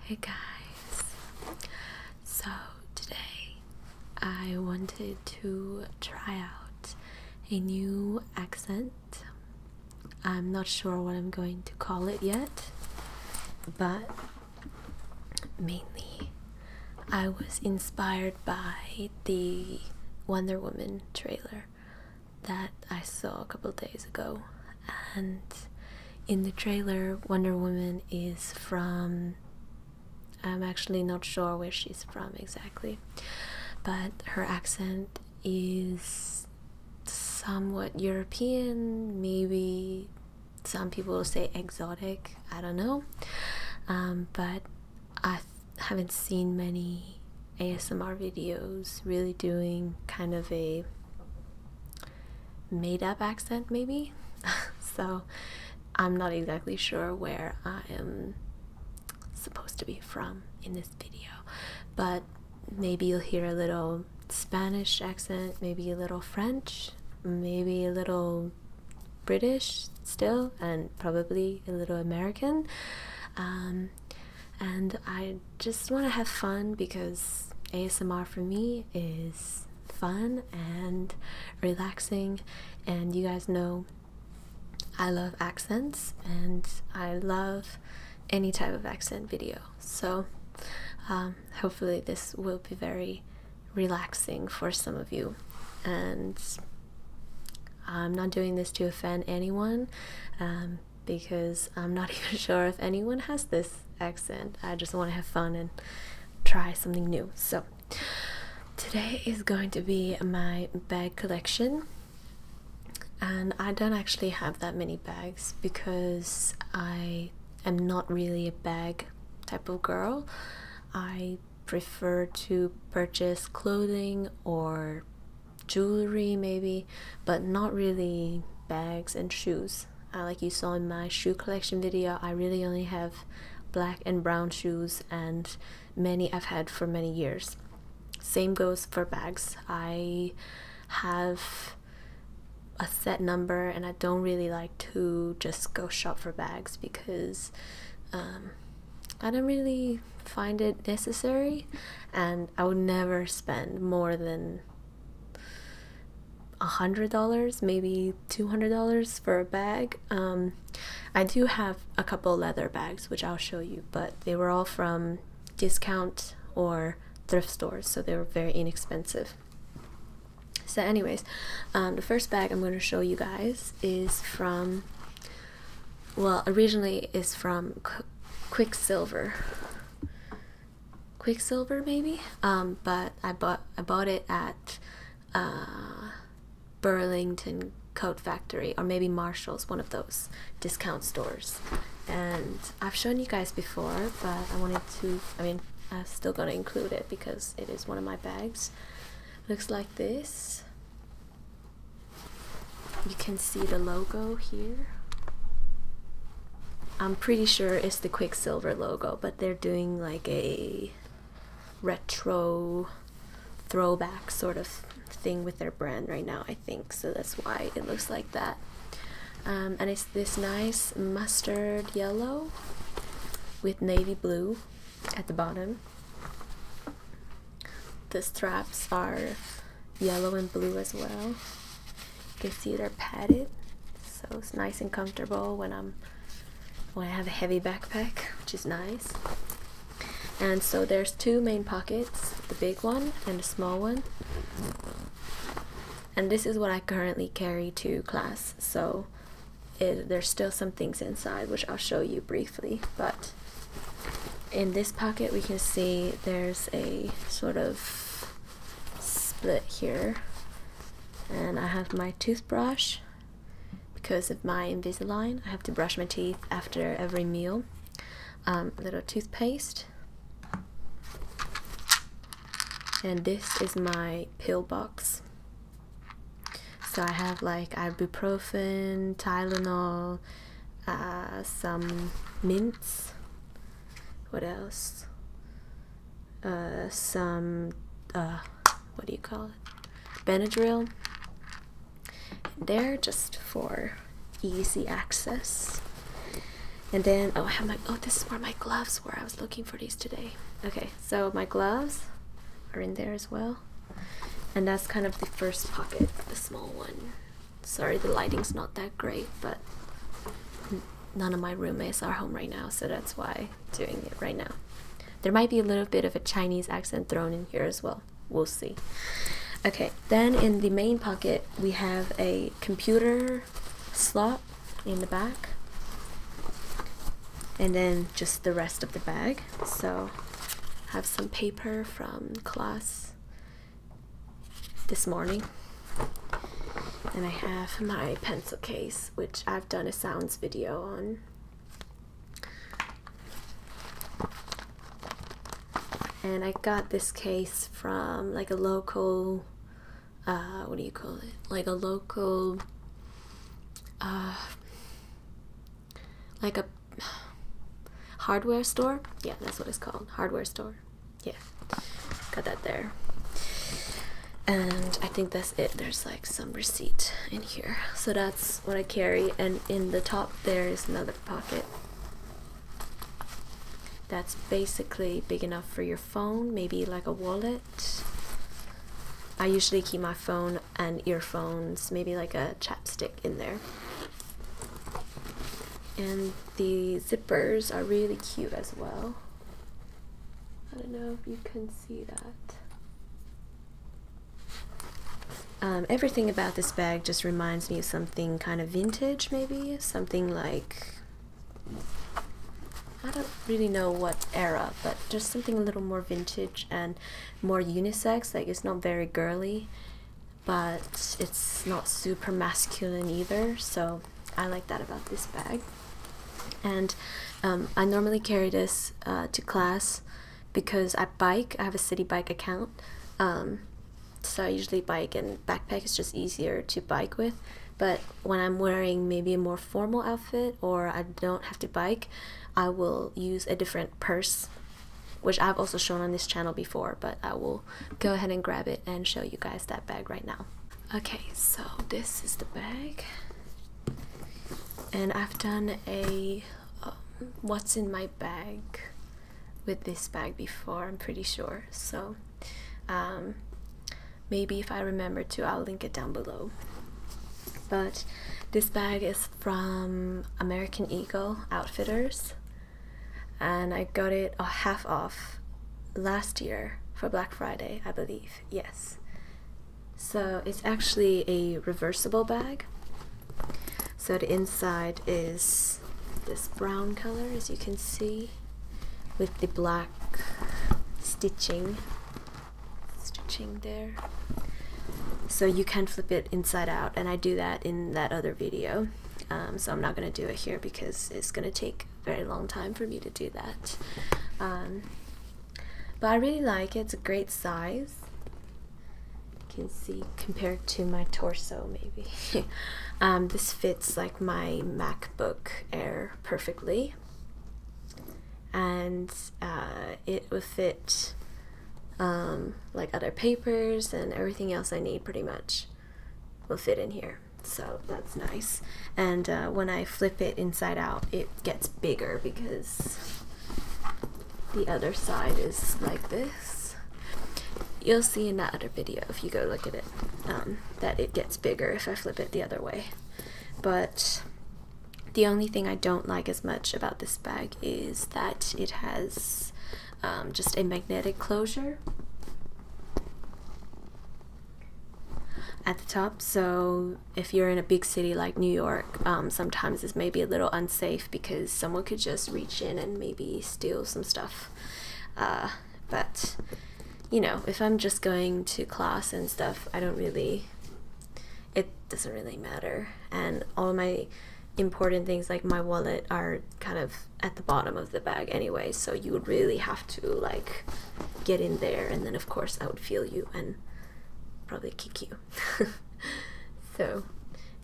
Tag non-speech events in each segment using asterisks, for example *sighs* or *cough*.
Hey guys, so today I wanted to try out a new accent. I'm not sure what I'm going to call it yet, but mainly I was inspired by the Wonder Woman trailer that I saw a couple days ago and in the trailer, Wonder Woman is from. I'm actually not sure where she's from exactly, but her accent is somewhat European, maybe some people will say exotic, I don't know. Um, but I haven't seen many ASMR videos really doing kind of a made up accent, maybe. *laughs* so I'm not exactly sure where I am supposed to be from in this video, but maybe you'll hear a little Spanish accent, maybe a little French, maybe a little British still, and probably a little American. Um, and I just want to have fun because ASMR for me is fun and relaxing, and you guys know I love accents and I love any type of accent video. So, um, hopefully, this will be very relaxing for some of you. And I'm not doing this to offend anyone um, because I'm not *laughs* even sure if anyone has this accent. I just want to have fun and try something new. So, today is going to be my bag collection. And I don't actually have that many bags because I am not really a bag type of girl. I prefer to purchase clothing or jewelry maybe, but not really bags and shoes. Uh, like you saw in my shoe collection video I really only have black and brown shoes and many I've had for many years same goes for bags I have a set number and I don't really like to just go shop for bags because um, I don't really find it necessary and I would never spend more than $100 maybe $200 for a bag um, i do have a couple leather bags which i'll show you but they were all from discount or thrift stores so they were very inexpensive so anyways um, the first bag i'm going to show you guys is from well originally is from quicksilver Quicksilver maybe. Um, but I bought I bought it at uh, Burlington Coat Factory or maybe Marshalls, one of those discount stores. And I've shown you guys before, but I wanted to. I mean, I'm still gonna include it because it is one of my bags. Looks like this. You can see the logo here. I'm pretty sure it's the Quicksilver logo, but they're doing like a retro throwback sort of thing with their brand right now, I think. So that's why it looks like that. Um, and it's this nice mustard yellow with navy blue at the bottom. The straps are yellow and blue as well. You can see they are padded so it's nice and comfortable when i'm when i have a heavy backpack which is nice and so there's two main pockets the big one and the small one and this is what i currently carry to class so there's still some things inside which i'll show you briefly but in this pocket we can see there's a sort of split here and I have my toothbrush because of my Invisalign. I have to brush my teeth after every meal. Um, a little toothpaste. And this is my pill box. So I have like ibuprofen, Tylenol, uh, some mints. What else? uh, some, uh, what do you call it? Benadryl in there just for easy access. And then, oh, I have my, oh, this is where my gloves were. I was looking for these today. Okay, so my gloves are in there as well. And that's kind of the first pocket, the small one. Sorry, the lighting's not that great, but none of my roommates are home right now, so that's why I'm doing it right now. There might be a little bit of a Chinese accent thrown in here as well. We'll see. Okay, then in the main pocket, we have a computer slot in the back, and then just the rest of the bag. So, have some paper from class this morning. And I have my pencil case, which I've done a sounds video on. And I got this case from like a local, uh, what do you call it? Like a local, uh, like a hardware store. Yeah, that's what it's called, hardware store yeah got that there and i think that's it there's like some receipt in here so that's what i carry and in the top there is another pocket that's basically big enough for your phone maybe like a wallet i usually keep my phone and earphones maybe like a chapstick in there and the zippers are really cute as well I don't know if you can see that. Um, everything about this bag just reminds me of something kind of vintage, maybe? Something like... I don't really know what era, but just something a little more vintage and more unisex. Like, it's not very girly, but it's not super masculine either, so I like that about this bag. And um, I normally carry this uh, to class because I bike. I have a city bike account. Um, so I usually bike and backpack is just easier to bike with. But when I'm wearing maybe a more formal outfit or I don't have to bike, I will use a different purse, which I've also shown on this channel before, but I will go ahead and grab it and show you guys that bag right now okay so this is the bag and I've done a um, what's in my bag with this bag before I'm pretty sure so um, maybe if I remember to I'll link it down below but this bag is from American Eagle Outfitters and I got it a half off last year for Black Friday I believe yes. So it's actually a reversible bag. So the inside is this brown color, as you can see, with the black stitching, stitching there. So you can flip it inside out, and I do that in that other video. Um, so I'm not going to do it here because it's going to take very long time for me to do that. Um, but I really like it. It's a great size. You can see compared to my torso, maybe. *laughs* Um, this fits like my MacBook Air perfectly. And uh, it will fit um, like other papers and everything else I need pretty much will fit in here so that's nice and uh, when I flip it inside out it gets bigger because the other side is like this you'll see in that other video if you go look at it um, that it gets bigger if I flip it the other way but the only thing I don't like as much about this bag is that it has um, just a magnetic closure at the top. So if you're in a big city like New York, um, sometimes it's maybe a little unsafe because someone could just reach in and maybe steal some stuff. Uh, but you know, if I'm just going to class and stuff, I don't really. It doesn't really matter, and all my important things like my wallet are kind of at the bottom of the bag anyway so you really have to like get in there, and then of course I would feel you and probably kick you. *laughs* so,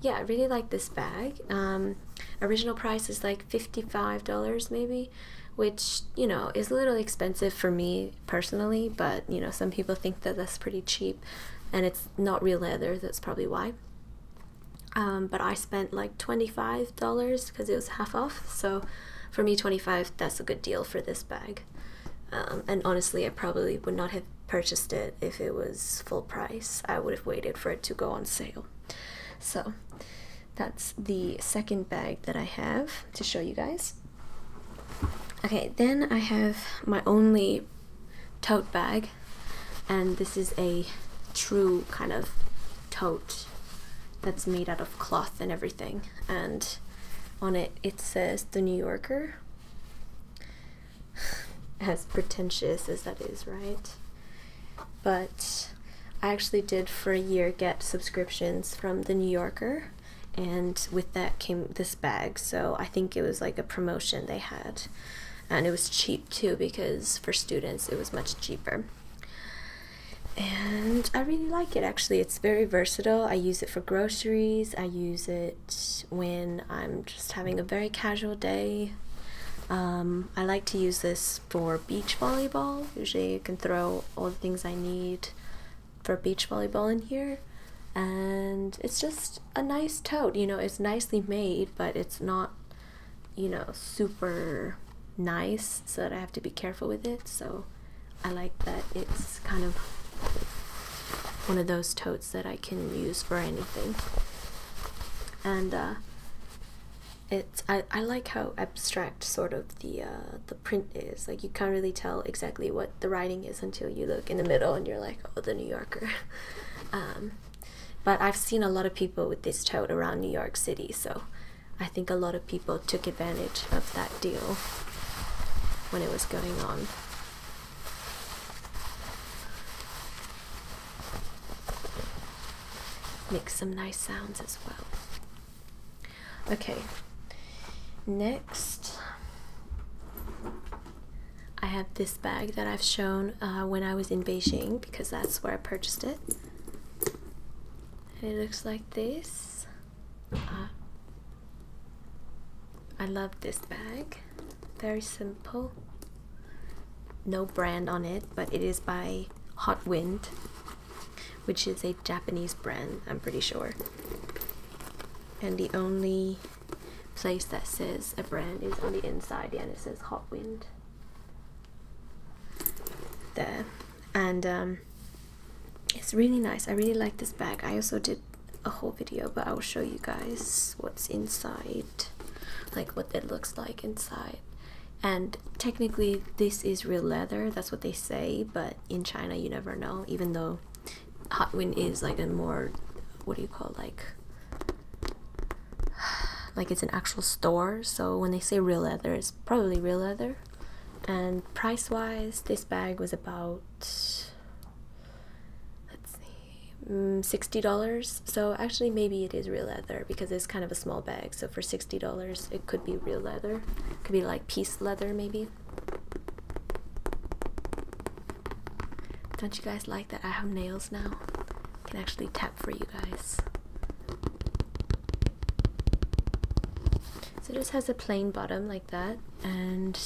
yeah, I really like this bag. Um, original price is like $55 maybe, which, you know, is a little expensive for me personally, but, you know, some people think that that's pretty cheap and it's not real leather, that's probably why. Um, but I spent like 25 dollars because it was half off. So for me, 25 that's a good deal for this bag. Um, and honestly, I probably would not have purchased it if it was full price. I would have waited for it to go on sale. So that's the second bag that I have to show you guys. Okay, then I have my only tote bag, and this is a true kind of tote that's made out of cloth and everything and on it it says The New Yorker. *sighs* as pretentious as that is, right? But I actually did for a year get subscriptions from The New Yorker, and with that came this bag. So I think it was like a promotion they had, and it was cheap too because for students it was much cheaper and I really like it actually. It's very versatile. I use it for groceries, I use it when I'm just having a very casual day. Um, I like to use this for beach volleyball. Usually, you can throw all the things I need for beach volleyball in here. And it's just a nice tote, you know, it's nicely made, but it's not, you know, super nice so that I have to be careful with it. So I like that it's kind of one of those totes that I can use for anything. And uh, it's I, I like how abstract sort of the uh, the print is. Like you can't really tell exactly what the writing is until you look in the middle and you're like, oh, the New Yorker. *laughs* Um, but I've seen a lot of people with this tote around New York City, so I think a lot of people took advantage of that deal when it was going on. Make some nice sounds as well. Okay, next I have this bag that I've shown uh, when I was in Beijing because that's where I purchased it. it looks like this. I love this bag. Very simple. No brand on it, but it is by Hot Wind, which is a Japanese brand, I'm pretty sure. And the only place that says a brand is on the inside, yeah, and it says Hot Wind. There and um, it's really nice. I really like this bag. I also did a whole video, but I will show you guys what's inside, like what it looks like inside. And technically, this is real leather. That's what they say, but in China, you never know. Even though Hot Wind is like a more, what do you call it? like *sighs* like it's an actual store so when they say real leather it's probably real leather and price wise this bag was about let's see mm, $60 so actually maybe it is real leather because it's kind of a small bag so for $60 it could be real leather could be like piece leather maybe don't you guys like that I have nails now I can actually tap for you guys so it just has a plain bottom like that and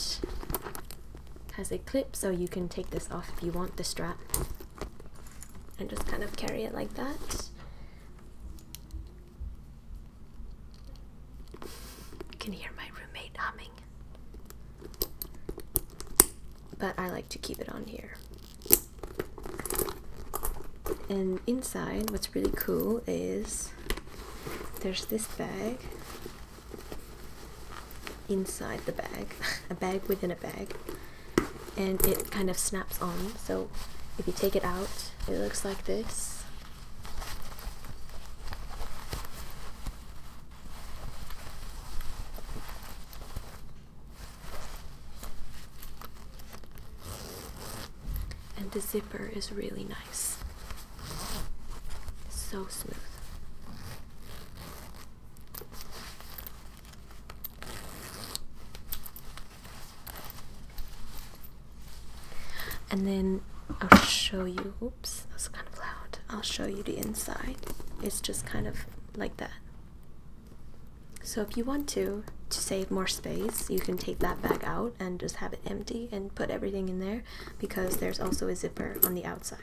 has a clip so you can take this off if you want the strap and just kind of carry it like that. You can hear my roommate humming. But I like to keep it on here. And inside, what's really cool is there's this bag inside the bag *laughs* a bag within a bag and it kind of snaps on so if you take it out it looks like this and the zipper is really nice. So smooth. And then I'll show you. Oops, that's kind of loud. I'll show you the inside. It's just kind of like that. So if you want to, to save more space, you can take that bag out and just have it empty and put everything in there because there's also a zipper on the outside.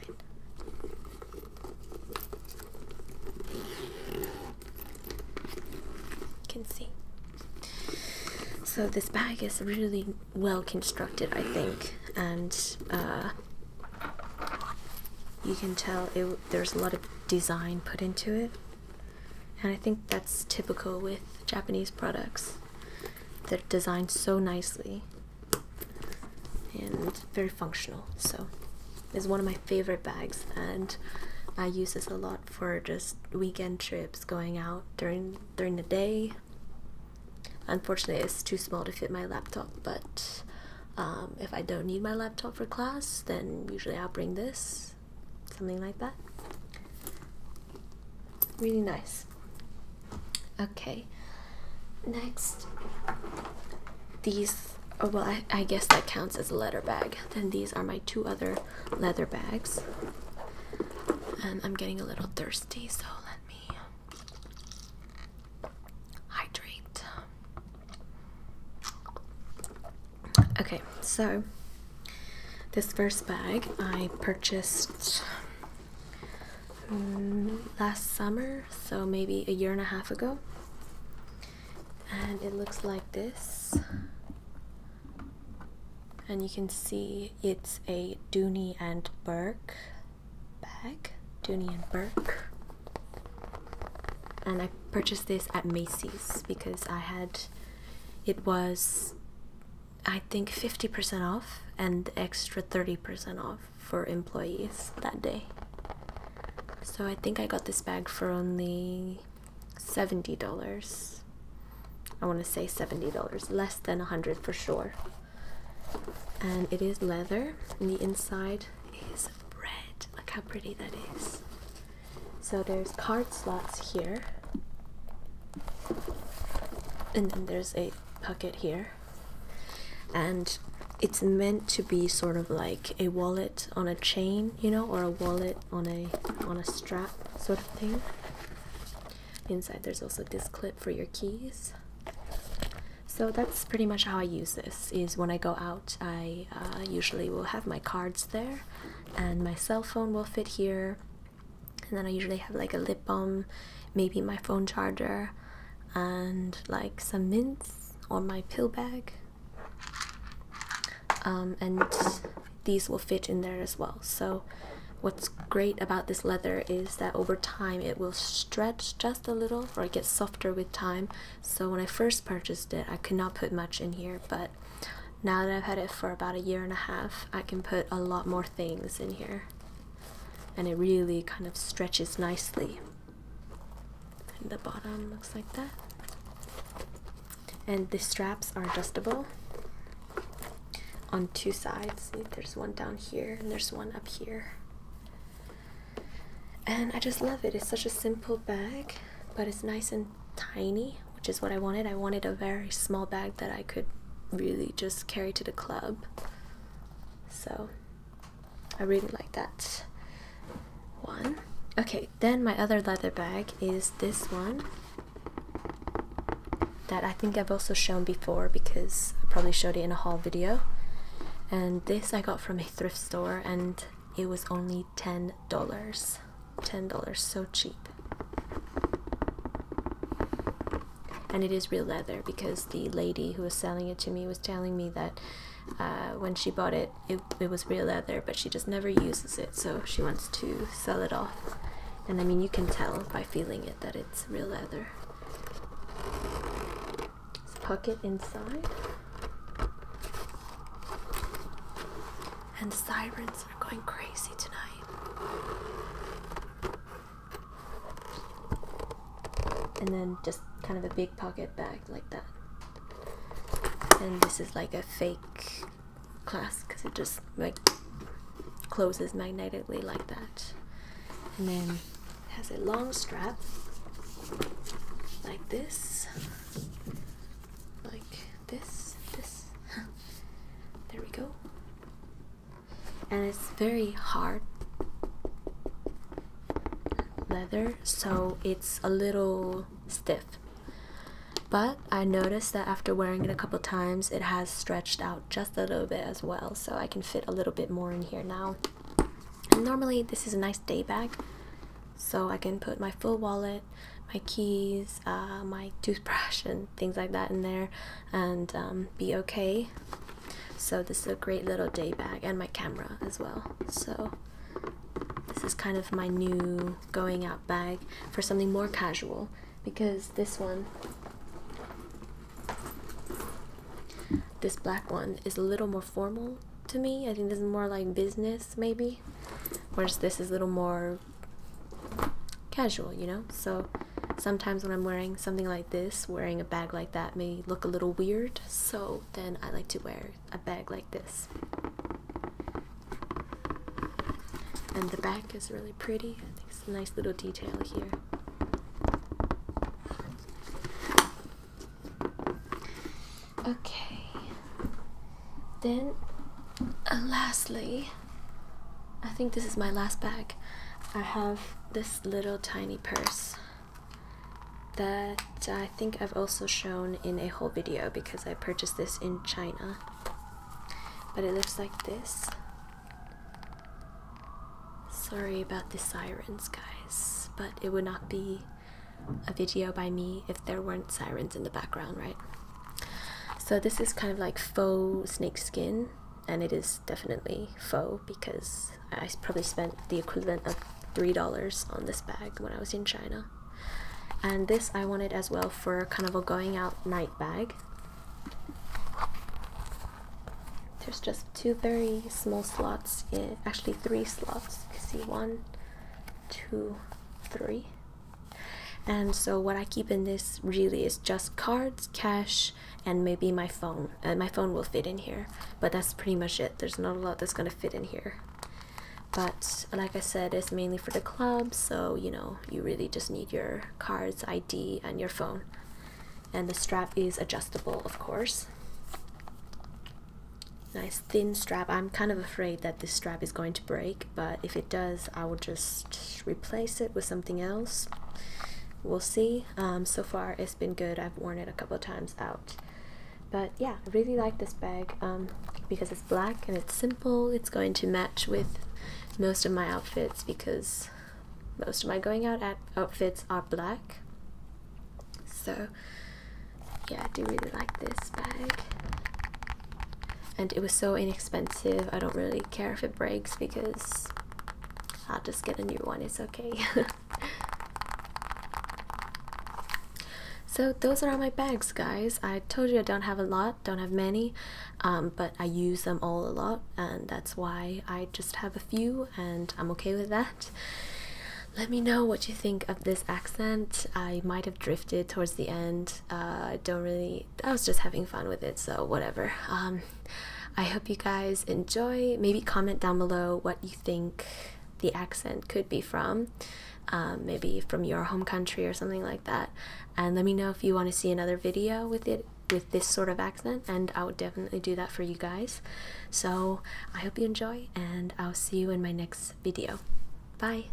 Can see. So this bag is really well constructed, I think, and uh, you can tell it, there's a lot of design put into it. And I think that's typical with Japanese products. They're designed so nicely and very functional. So it's one of my favorite bags and I use this a lot for just weekend trips going out during during the day. Unfortunately it's too small to fit my laptop but um, if I don't need my laptop for class then usually I'll bring this something like that. Really nice. Okay, next, these. Oh, well, I, I guess that counts as a leather bag. Then these are my two other leather bags. And um, I'm getting a little thirsty, so let me hydrate. Okay, so this first bag I purchased mm, last summer, so maybe a year and a half ago. And it looks like this. And you can see it's a Dooney and Burke bag. Dooney and Burke. And I purchased this at Macy's because I had, it was I think 50% off and extra 30% off for employees that day. So I think I got this bag for only $70. I want to say $70, less than 100 for sure. And it is leather, and the inside is red. Look how pretty that is. So there's card slots here. And then there's a pocket here. And it's meant to be sort of like a wallet on a chain, you know, or a wallet on a on a strap sort of thing. Inside there's also this clip for your keys. So that's pretty much how I use this. Is when I go out, I uh, usually will have my cards there, and my cell phone will fit here, and then I usually have like a lip balm, maybe my phone charger, and like some mints or my pill bag. Um, and these will fit in there as well. So, what's great about this leather is that over time it will stretch just a little or get softer with time. So, when I first purchased it, I could not put much in here, but now that I've had it for about a year and a half, I can put a lot more things in here. And it really kind of stretches nicely. And the bottom looks like that. And the straps are adjustable on two sides. There's one down here and there's one up here. And I just love it. It's such a simple bag, but it's nice and tiny, which is what I wanted. I wanted a very small bag that I could really just carry to the club. So I really like that one. Okay, then my other leather bag is this one that I think I've also shown before because I probably showed it in a haul video. And this I got from a thrift store and it was only $10. $10, so cheap. And it is real leather because the lady who was selling it to me was telling me that uh, when she bought it, it, it was real leather, but she just never uses it, so she wants to sell it off. And I mean, you can tell by feeling it that it's real leather. It's pocket inside. And sirens I'm going crazy tonight. And then just kind of a big pocket bag like that. And this is like a fake clasp because it just like closes magnetically like that. And then it has a long strap like this, like this, this, *laughs* There we go. And it's very hard leather, so it's a little stiff. But I noticed that after wearing it a couple times, it has stretched out just a little bit as well, so I can fit a little bit more in here now. And normally, this is a nice day bag, so I can put my full wallet, my keys, uh, my toothbrush and things like that in there and um, be okay. So this is a great little day bag and my camera as well. So this is kind of my new going out bag for something more casual because this one this black one is a little more formal to me. I think this is more like business maybe. Whereas this is a little more casual, you know? So sometimes when I'm wearing something like this, wearing a bag like that may look a little weird, so then I like to wear a bag like this. And the back is really pretty. I think it's a nice little detail here. Okay. Then, uh, lastly, I think this is my last bag. I have this little tiny purse that I think I've also shown in a whole video because I purchased this in China. But it looks like this. Sorry about the sirens, guys, but it would not be a video by me if there weren't sirens in the background, right? So this is kind of like faux snake skin, and it is definitely faux because I probably spent the equivalent of three dollars on this bag when I was in China. And this I wanted as well for kind of a going out night bag. There's just two very small slots, actually three slots. You can see one, two, three. And so what I keep in this really is just cards, cash, and maybe my phone. Uh, my phone will fit in here, but that's pretty much it. There's not a lot that's gonna fit in here. But like I said, it's mainly for the club, so you know, you really just need your cards, ID, and your phone. And the strap is adjustable, of course. Nice thin strap. I'm kind of afraid that this strap is going to break but if it does I will just replace it with something else we'll see um, so far it's been good I've worn it a couple of times out but yeah I really like this bag um, because it's black and it's simple it's going to match with most of my outfits because most of my going out outfits are black so yeah I do really like this bag and it was so inexpensive. I don't really care if it breaks because I'll just get a new one, it's okay. *laughs* so, those are all my bags, guys. I told you I don't have a lot, don't have many, um, but I use them all a lot, and that's why I just have a few, and I'm okay with that. Let me know what you think of this accent. I might have drifted towards the end. Uh, I don't really I was just having fun with it, so whatever. Um, I hope you guys enjoy. Maybe comment down below what you think the accent could be from. Um, maybe from your home country or something like that. And let me know if you want to see another video with it with this sort of accent and I would definitely do that for you guys. So I hope you enjoy and I'll see you in my next video. Bye!